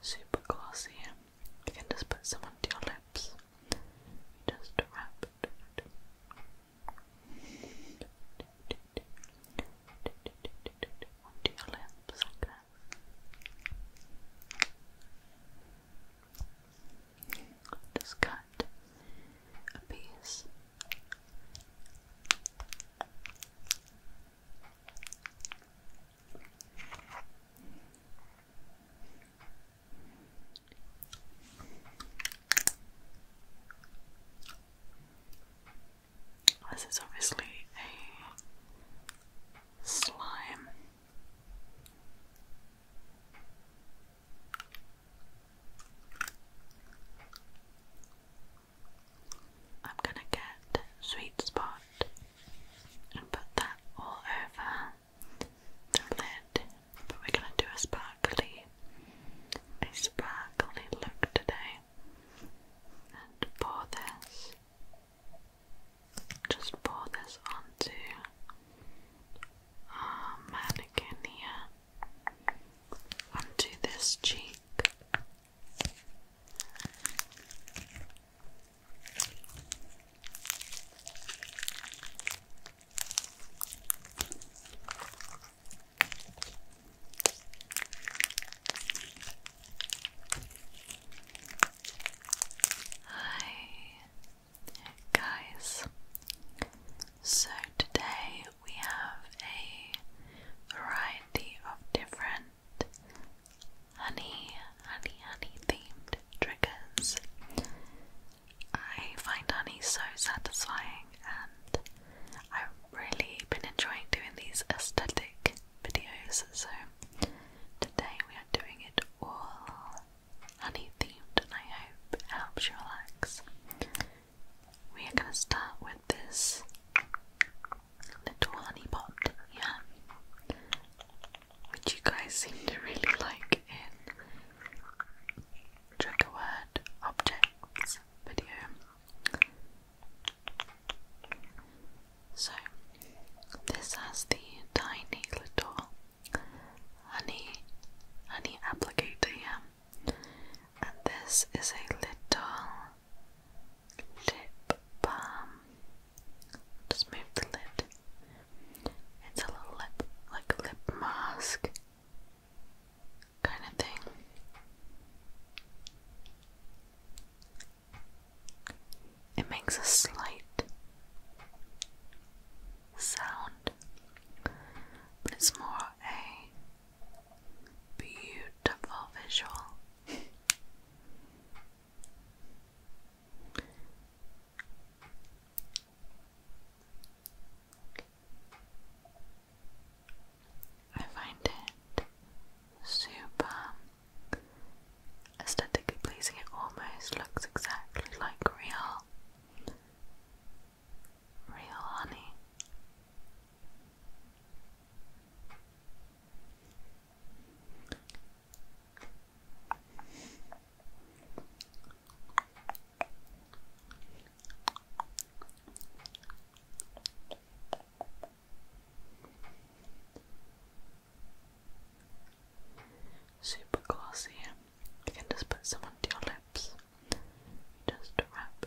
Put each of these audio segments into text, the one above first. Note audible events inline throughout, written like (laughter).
Super glossy. You can just put some onto your lips. just wrap Onto your lips Just cut a piece. This is obviously a slime. I'm gonna get sweet spot and put that all over the lid. But we're gonna do a sparkly, a sparkly look today, and pour this. Just pour this onto our mannequin here, onto this cheek. Hi guys. So today we have a variety of different honey, honey, honey themed triggers. I find honey so satisfying, and I've really been enjoying doing these aesthetic videos. So today we are doing it all honey themed, and I hope it helps you relax we are going to start with this little honey pot, yeah, which you guys seem to really like in trigger word objects video. So, this has the tiny little honey, honey applicator here, and this is a little lip balm. Just move the lid. It's a little lip, like lip mask kind of thing. It makes a slight sound, but it's more a Beautiful visual. I find it super aesthetically pleasing. It almost looks exactly like real, real honey. Super glossy. You can just put some onto your lips. Just wrap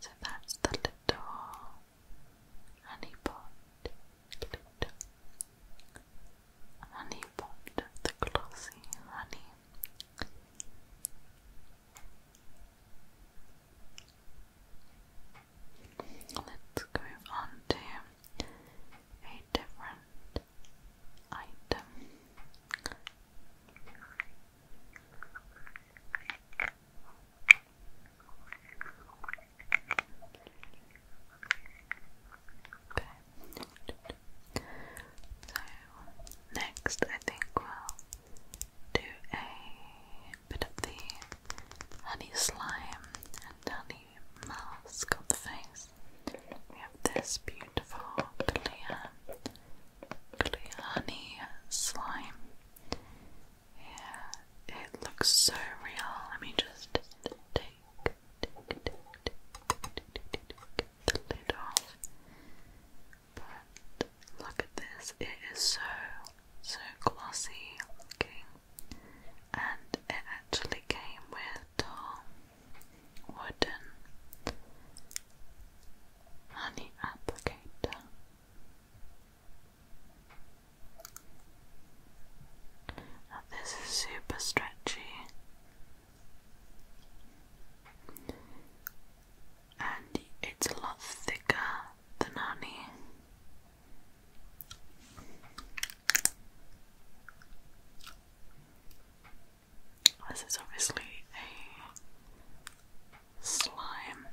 So that's the little honey pot, honey pot, the glossy honey. Let's go on to a different item. So next I think we'll do a bit of the honey slime and honey mask on the face. We have this beautiful clear honey slime. Yeah, it looks so real. Let me just take, the lid off. But look at this, it is so, so glossy looking. And it actually came with um, wooden honey applicator. Now this is super stretchy and it's a lot thicker than honey. This is obviously a slime.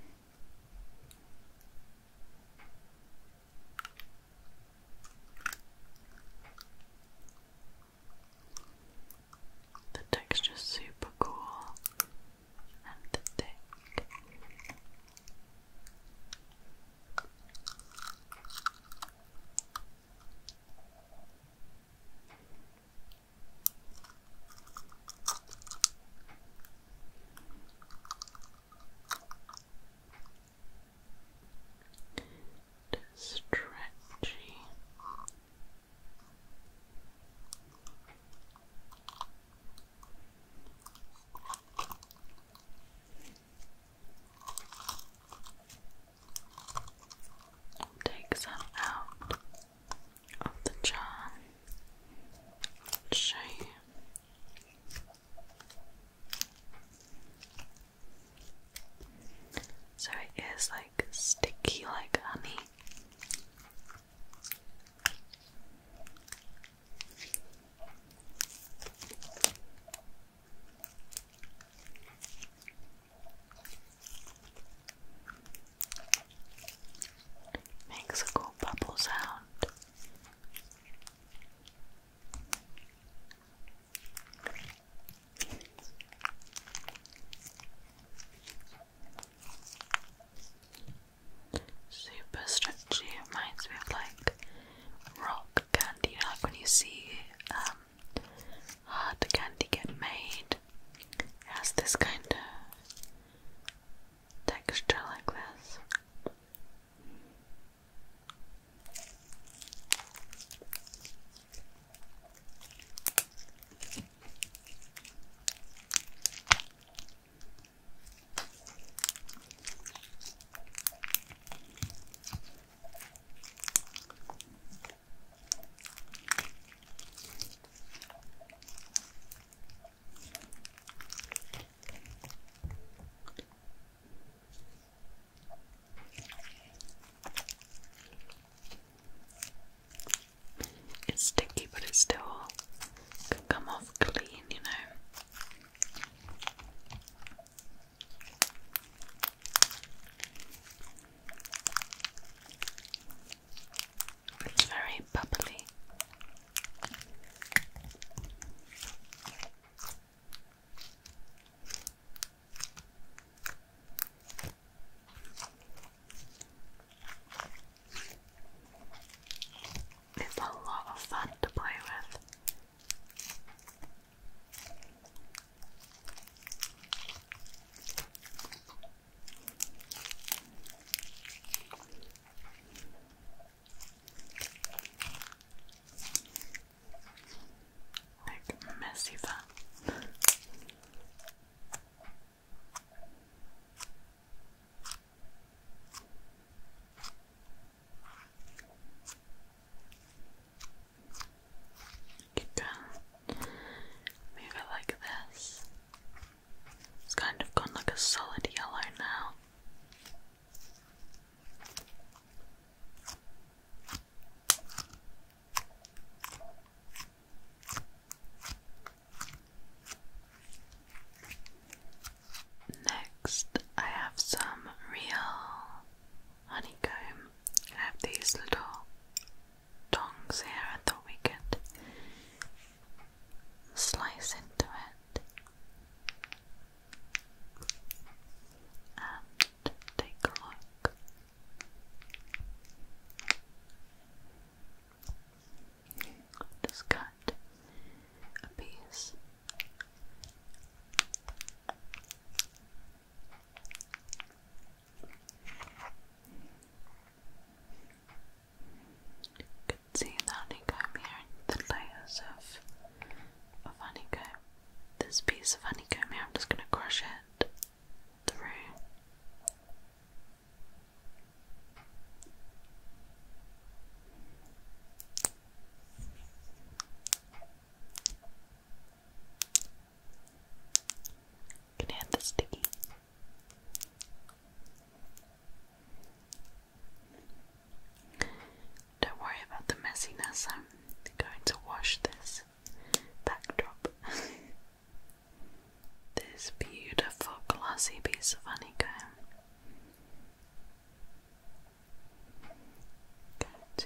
The texture's super cool and thick. Stretchy. Take some out of the jar. show you. So it is like sticky like honey. Makes a cool bubble sound. Super stretchy, reminds me of like rock candy, like when you see um, hard ah, candy get made. It has this kind of texture like this. It's sticky, but it still can come off clean, you know. It's very bubbly. It's a lot of fun to play with. Like messy you can move it like this. It's kind of gone like a solid yellow now. Next, I have some real honeycomb. have these little tongs here. I thought we could slice into it and take a look. Just cut a piece can see the honeycomb here, the layers of, of honeycomb. This piece of honeycomb here, I'm just going to crush it through. Can I have the sticky? Don't worry about the messiness, I'm going to wash this backdrop. (laughs) this beautiful glossy piece of honeycomb. Going to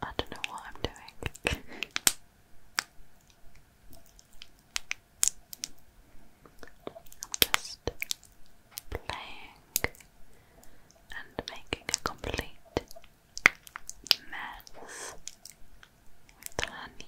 I don't know what I'm doing. (laughs) I'm just playing and making a complete mess with honey.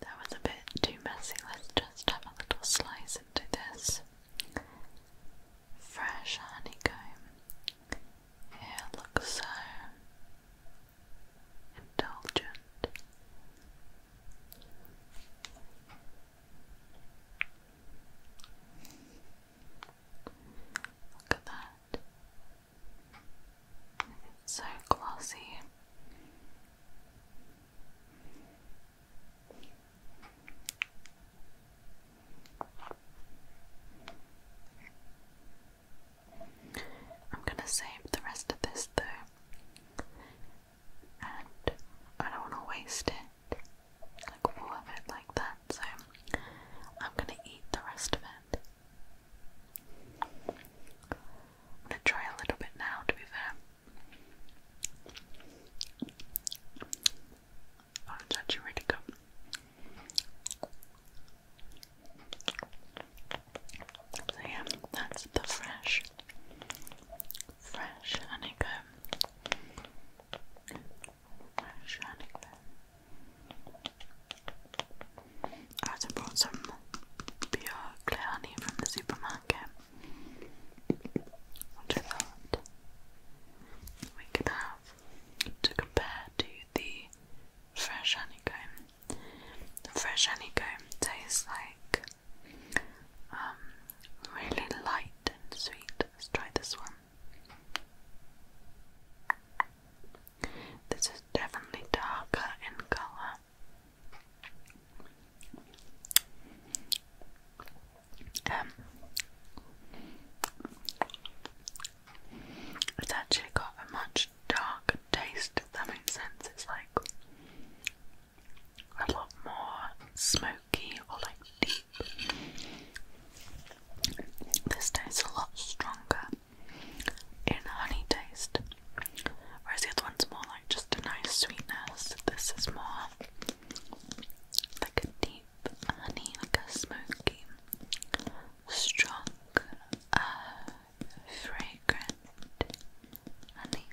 That was a bit too messy. Let's just have a little slice into this fresh honeycomb. it looks so indulgent. Look at that. It's so glossy. I'm gonna save the rest of this though, and I don't want to waste it, like all of it like that, so I'm gonna eat the rest of it. gonna try a little bit now, to be fair. Oh, it's actually really good. So yeah, that's the fresh, fresh honeycomb. Fresh honeycomb. I also brought some pure clear honey from the supermarket. Which I thought we could have to compare to the fresh honeycomb the fresh honeycomb tastes like um, really light and sweet. Let's try this one. This is definitely darker in colour. Um, it's actually got a much dark taste, if that makes sense. It's like a lot more smoky or like deep. This tastes a lot stronger in honey taste, whereas the other one's more like just a nice sweetness. This is more like a deep honey, like a smoky, strong uh, fragrant honey.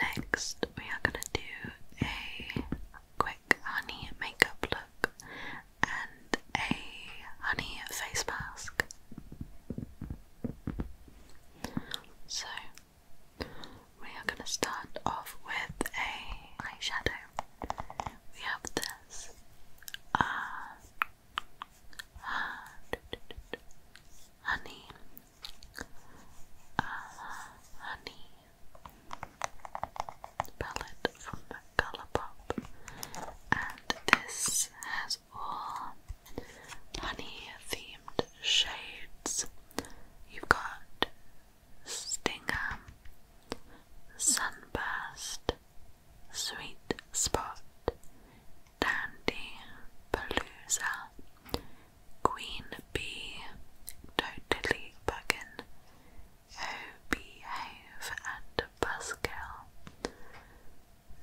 Next, we are going to do a quick honey makeup look and a honey face mask. So, we are going to start off with a eyeshadow. We have this uh, uh, honey, uh, honey palette from ColourPop, and this has all honey themed shades. You've got Stingham, Sunburst, Sweet Spot, Dandy, Palooza, Queen Bee, Totally Buggin, Hobie Hove, and Buskill.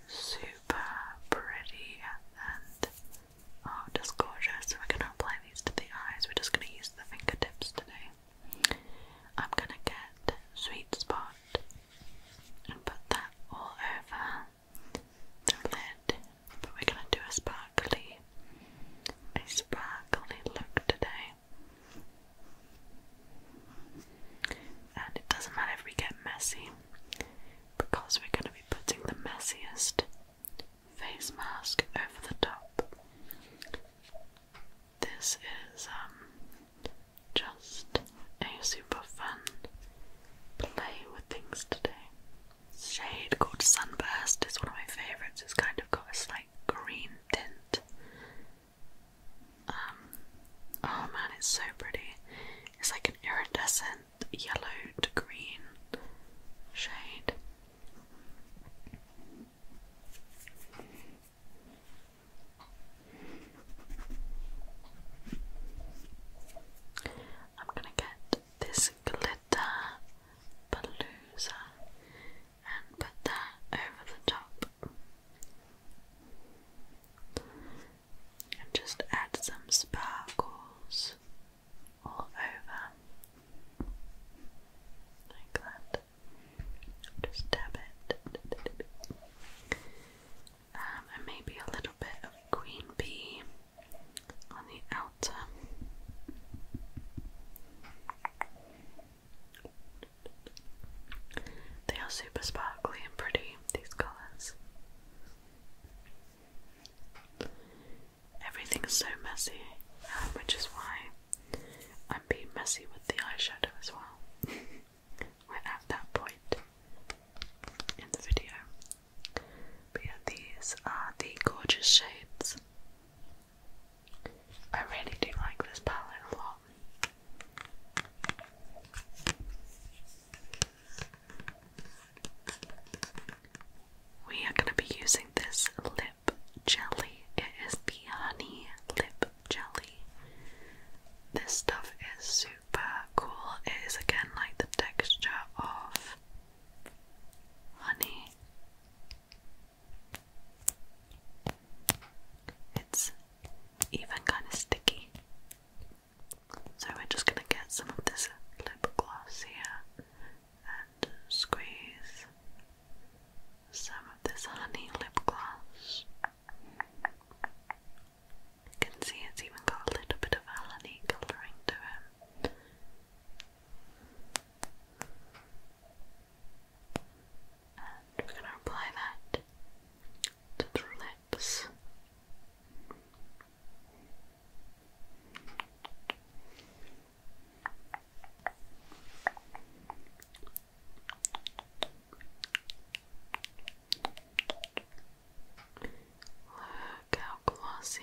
Super pretty and Oh, just gorgeous. we're gonna apply these to the eyes. We're just gonna use the fingertips today. I'm gonna get sweet spot and put that all over the lid. But we're gonna do a sparkly, a sparkly look today. And it doesn't matter if we get messy because we're going to be putting the messiest face mask over the top. This is um just a super fun play with things today. Shade called Sunburst is one of my favourites. It's kind of got a slight green tint. Um, oh man, it's so pretty. It's like an iridescent yellow to green shade. I'm going to get this glitter palooza and put that over the top. And just add some sparkles all over like that. Just dab it. Um, and maybe a little bit of green pea on the outer. They are super sparkly and pretty, these colours everything's so messy, um, which is why I'm being messy with the eyeshadow as well. (laughs) We're at that point in the video. But yeah, these are the gorgeous shades. I really do like this palette a lot we are going to be using this lip jelly. It is the honey lip jelly. This stuff is super cool. It is again like the texture of honey. It's even kind of sticky. So we're just going to get some of this lip gloss here and squeeze some of this honey lip gloss. You can see it's even got a little bit of honey colouring to it. And we're going to apply that to the lips. Look how glossy.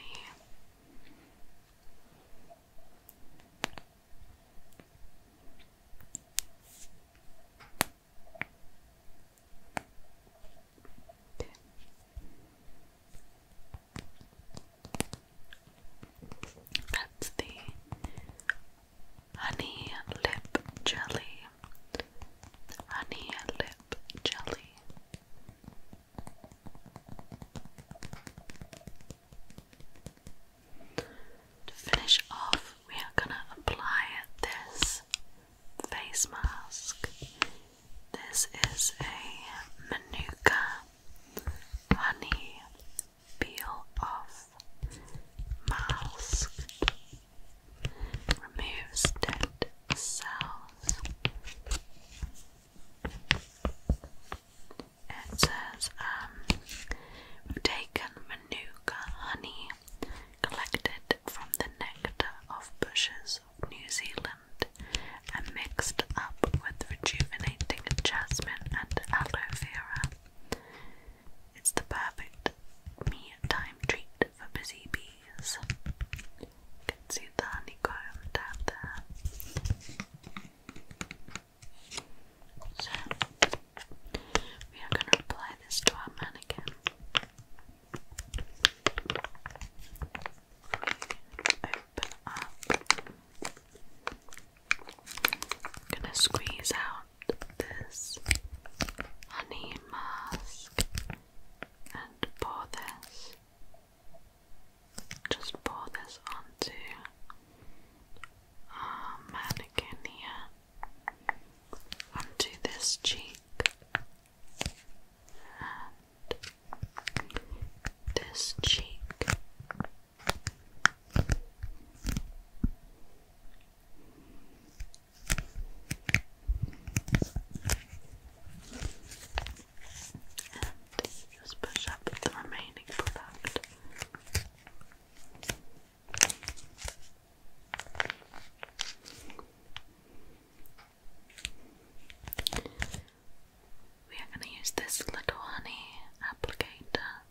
That's the honey lip jelly. Honey lip jelly. To finish off, we are going to apply this face mask. This is a Manuka honey peel off mask. Removes dead cells. It says, um, we've taken Manuka honey collected from the nectar of bushes of New Zealand blend and mixed up with rejuvenating jasmine and aloe vera. It's the perfect me time treat for busy bees. can see the honeycomb down there. So, we are going to apply this to our mannequin. Open up. I'm gonna squeeze out this honey mask and pour this. Just pour this onto our mannequin here. Onto this cheek this cheek. And just push up the remaining product. We are going to use this little honey applicator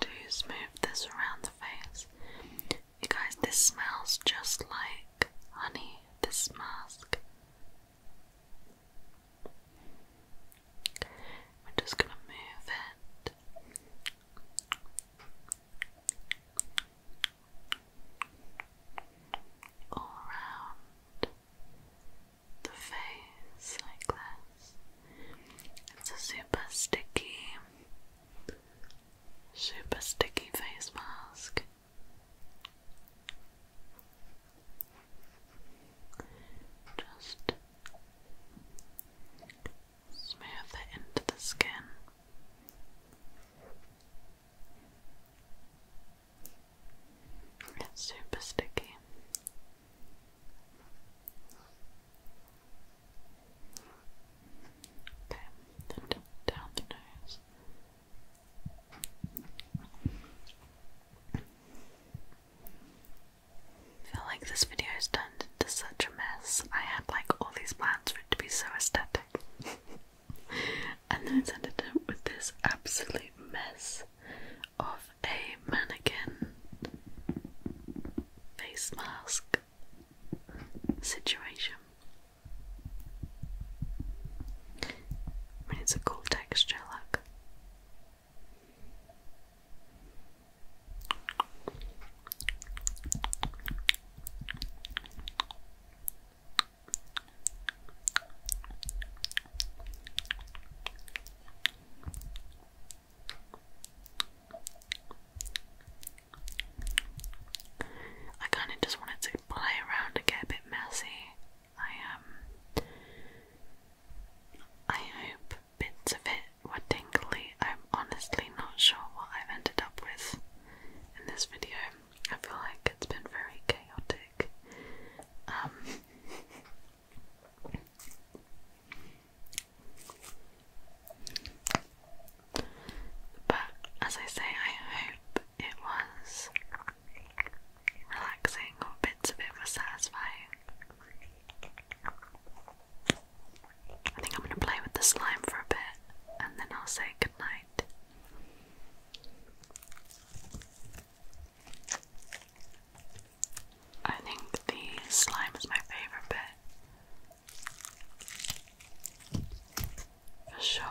to smooth this around the face. You guys, this smells just like honey, this mask. We're just going to move it all around the face like this. It's a super sticky, super sticky face mask. Just smooth it into the skin. It's super sticky. Okay, down the nose. feel like this video has turned into such a mess. I had like all these plans for it to be so aesthetic. (laughs) and then it's ended up with this absolute mess of a mannequin face mask situation. I mean, it's a cool texture, look. I kind of just wanted to play around and get a bit messy. I um, I hope bits of it were tingly. I'm honestly not sure what I've ended up with in this video. I feel like it's been very chaotic. Um, but as I say, I hope it was relaxing or bits of it were satisfying. I think I'm going to play with the slime for a bit and then I'll say goodbye. I think the slime is my favorite bit. For sure.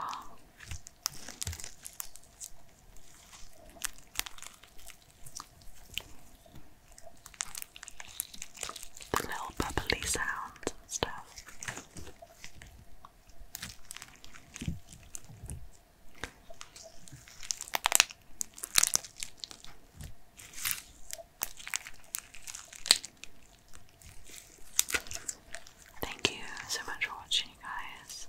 The little bubbly sounds and stuff. Thank you so much for watching, guys.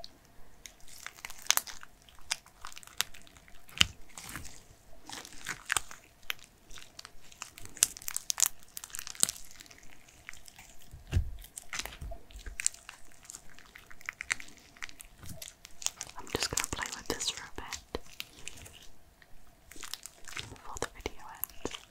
I'm just going to play with this for a bit before the video ends.